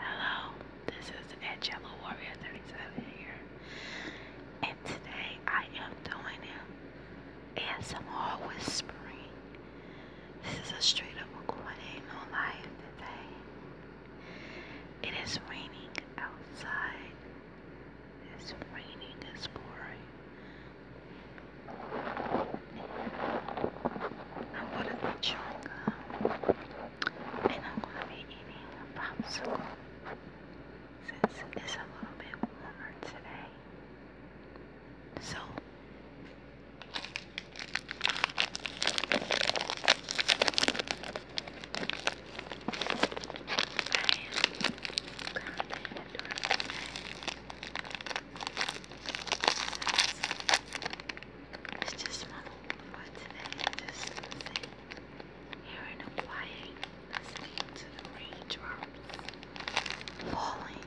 Hello, this is Angela Warrior 37 here, and today I am doing an ASMR whispering. This is a straight up recording, no live today. It is raining outside. It's raining, it's pouring. I'm gonna be chewing and I'm gonna be eating a popsicle since it's a little bit warmer today. So I am kind of that's just my for today. Just sitting here in listening to the raindrops falling.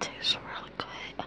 Tastes really good.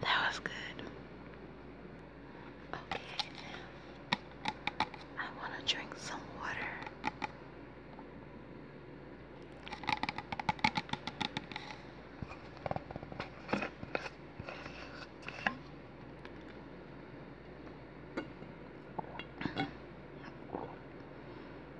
That was good. Okay, I want to drink some water.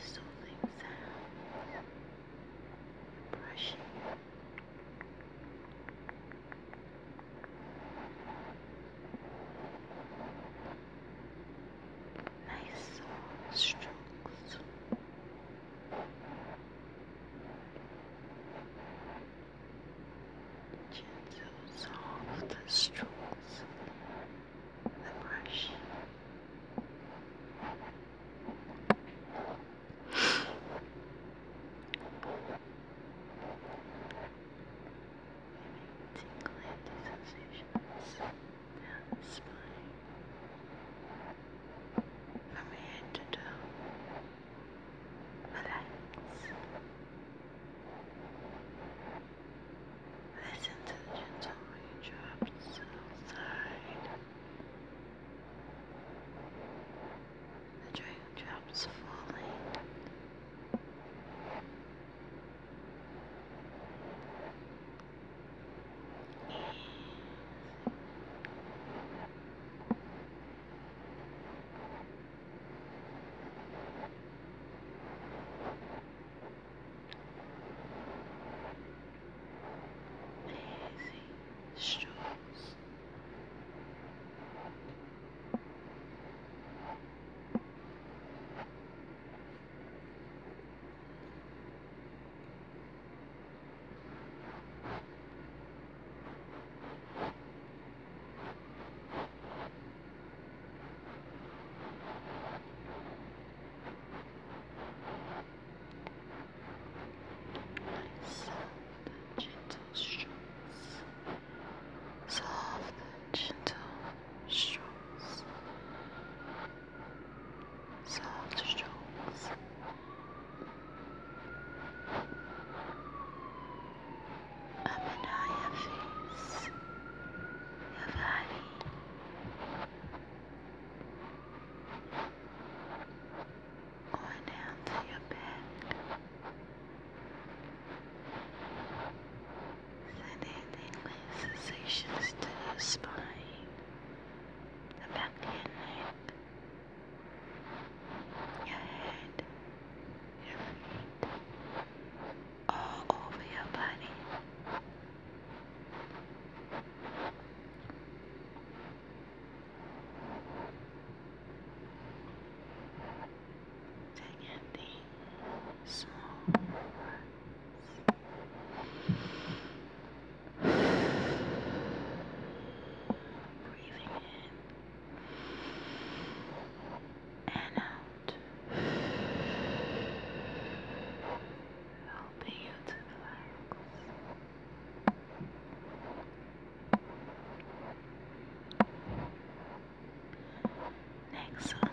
soothing sounds, brushing. Relaxing nice strokes. Gentle, soft strokes. The brush. Tingling sensations down the spine from head to Listen to the gentle raindrops outside. The raindrops falling. Lazy strokes. Lazy Soft, gentle strokes. Soft, gentle strokes soft strokes. Up and down your face, your body. Going down to your back. Sending sensations to your spine the back your neck, your head, your feet, all over your body. Take it small. Breathing in and out, helping you to relax. Next, I'm going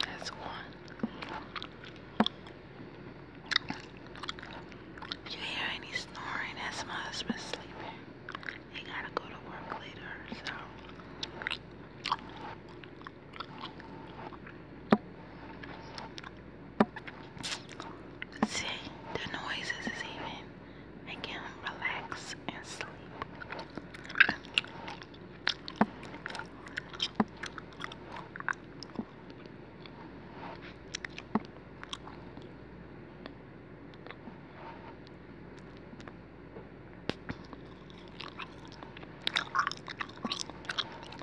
That's one. you hear any snoring, that's my husband sleeping. He gotta go to work later, so. See, the noises is even making him relax and sleep.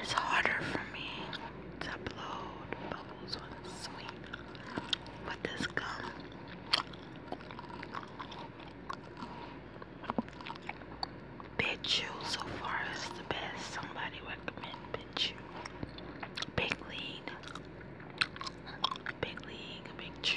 It's harder for me to blow bubbles with a sweet with this gum. Big Chew so far is the best. Somebody recommend Big Chew. Big League. Big League, Big Chew.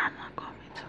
I'm not going to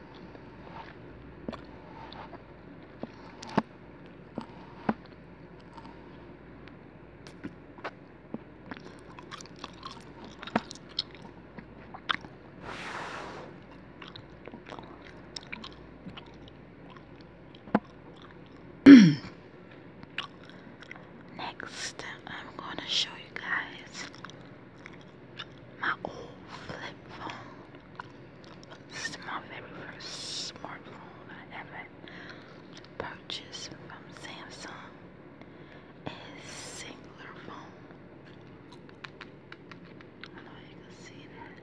Next, I'm going to show you guys my old flip phone. This is my very first smartphone I ever purchased from Samsung. It's singular phone. I don't know you can see that.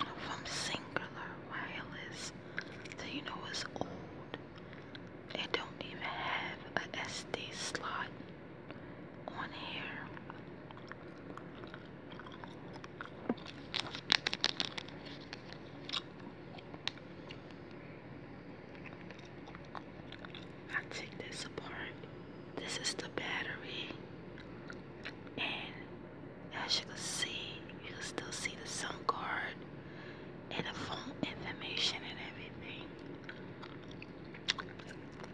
From singular wireless to you know it's old. It don't even have a SD slot on here. I take this apart. This is the battery, and as you can see, you can still see the SIM card and the phone information and everything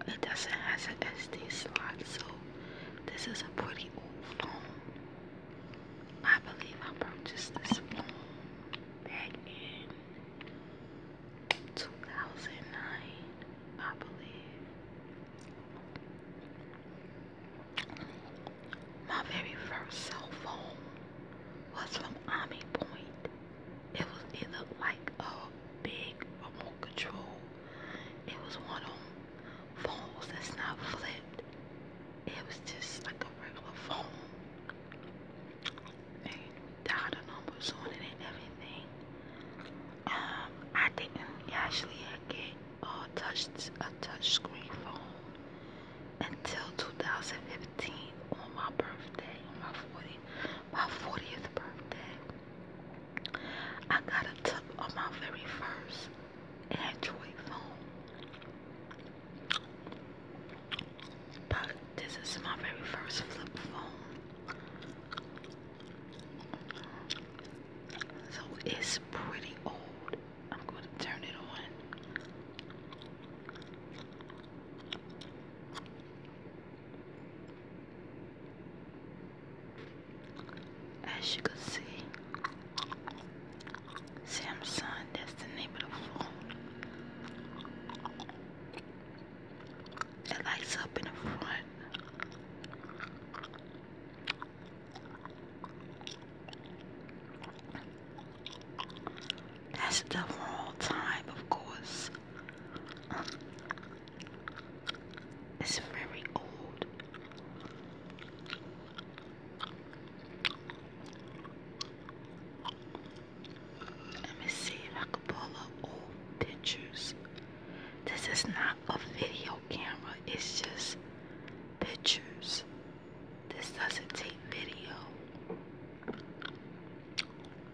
it doesn't have an SD slot, so this is a pretty old phone. I believe I purchased this phone back in 2009, I believe. My very first cell phone was from Army Point. It was it like a big remote control. It was one of phones that's not flipped. It was just like a regular phone. They numbers on it and everything. Um, I didn't actually get a touch a touch phone until 2015 on my birthday, my 40th my 40th birthday. I got a tip on my very first Android phone. But this is my very first flip phone. So it's pretty old. I'm going to turn it on. As you can see, Samsung, that's the name of the phone. It lights up in the front. That's the wrong time, of course. it's very old. Let me see if I can pull up old pictures. This is not a video camera, it's just pictures. This doesn't take video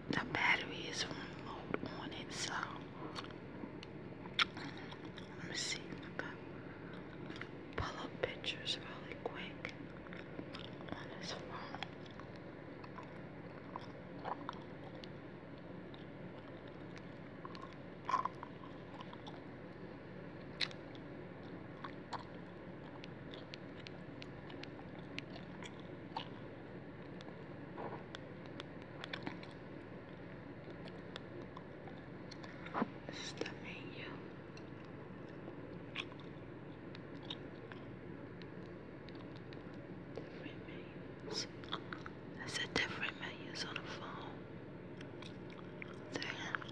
the battery is remote on it, so let me see pull up pictures really quick on this phone. This is menus. There's a different menus on the phone. Damn.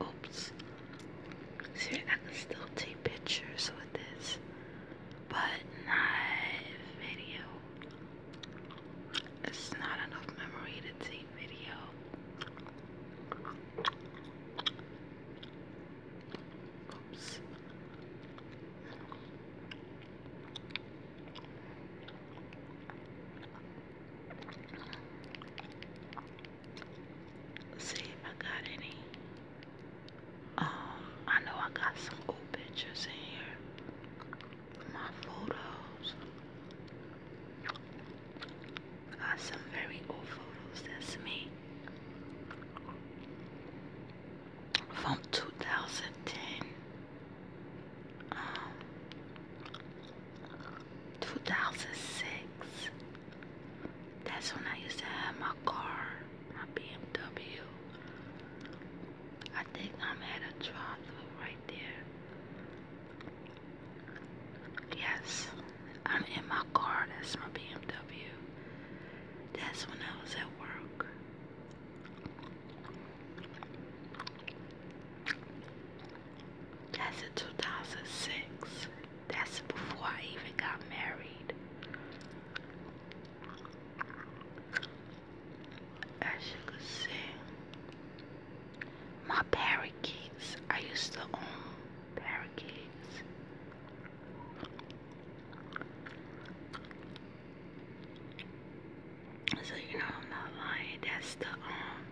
Oops. See, I can still take pictures with this, but not video. It's not enough memory to take video. Oops see if I got any. Um, I know I got some old pictures in here. My photos. got some very old photos. That's me. From 2010. Um, 2006. That's when I used to have my car, my BMW. I think I'm at a drive through right there. Yes, I'm in my car. That's my BMW. That's when I was at work. That's in 2006. That's before I even got married. As you can see, my parakeets. I used to own parakeets. So you know I'm That's the um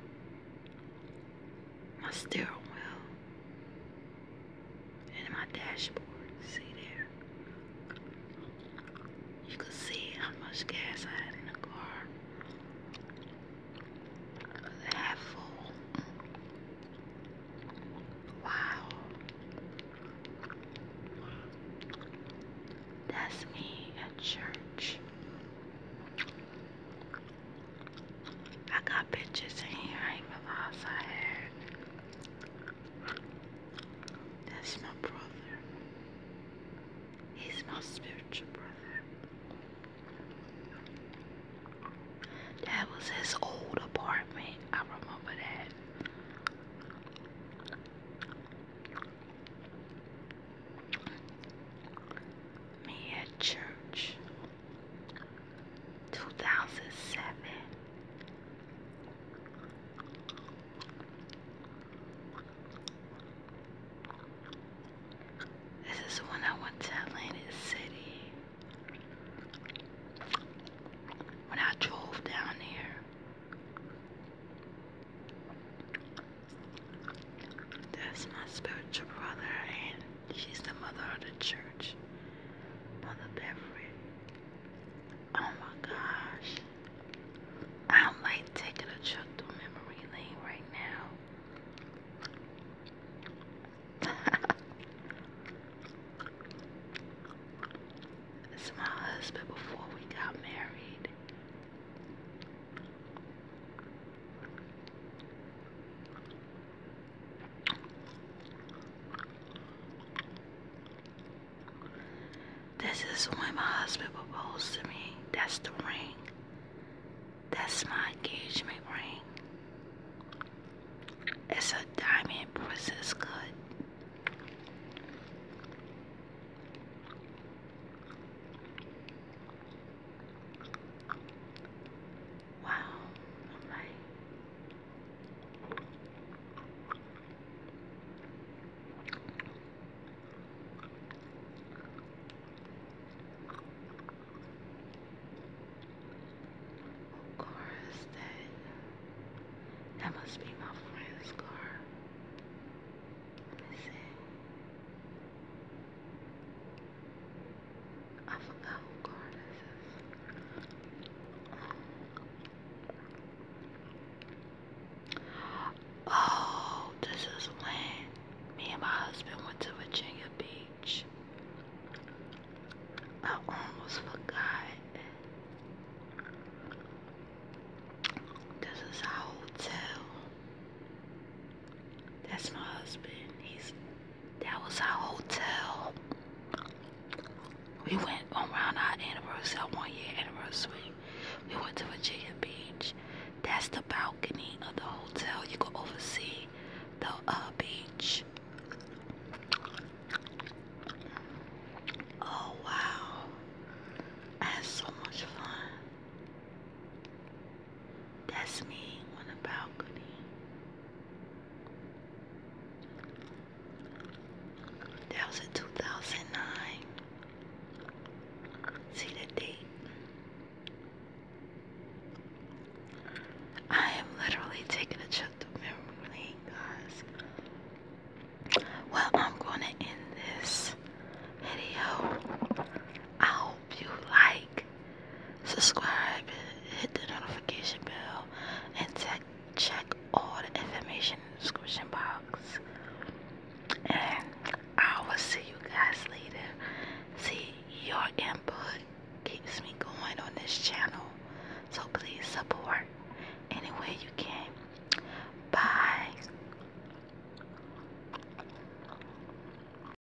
my steering wheel, and my dashboard. See there? You can see how much gas I had in the car. Half full. Wow. That's me at church. I got pictures in here, I ain't gonna lie, I had. That's my brother. He's my spiritual brother. That was his old apartment. I remember that me at church. 2007. This is when I went to Atlantic City. When I drove down there. That's my spiritual brother, and she's the mother of the church, Mother Beverly. Oh my gosh. I'm like taking a trip through memory lane right now. it's my husband before we got married. This is when my husband proposed to me. That's the ring. That's my engagement ring. It's a diamond princess cut. Wow, okay. Of course, that, that must be my friend's car. Let me I forgot what car this is. Oh, this is when me and my husband went to Virginia Beach. I almost forgot. This is our hotel. That's my husband. He's that was our hotel. We went around our anniversary, our one year anniversary. We went to Virginia Beach. That's the balcony of the hotel. You can oversee the uh, beach. Oh wow. I had so much fun. That's me on a balcony. That was in 2009. See the date. I am literally taking a trip to memory lane, guys. Well, I'm going to end this video. I hope you like, subscribe, hit the notification bell, and check check all the information description box. And I will see you guys later. See your input keeps me going on this channel. So please support any way you can. Bye.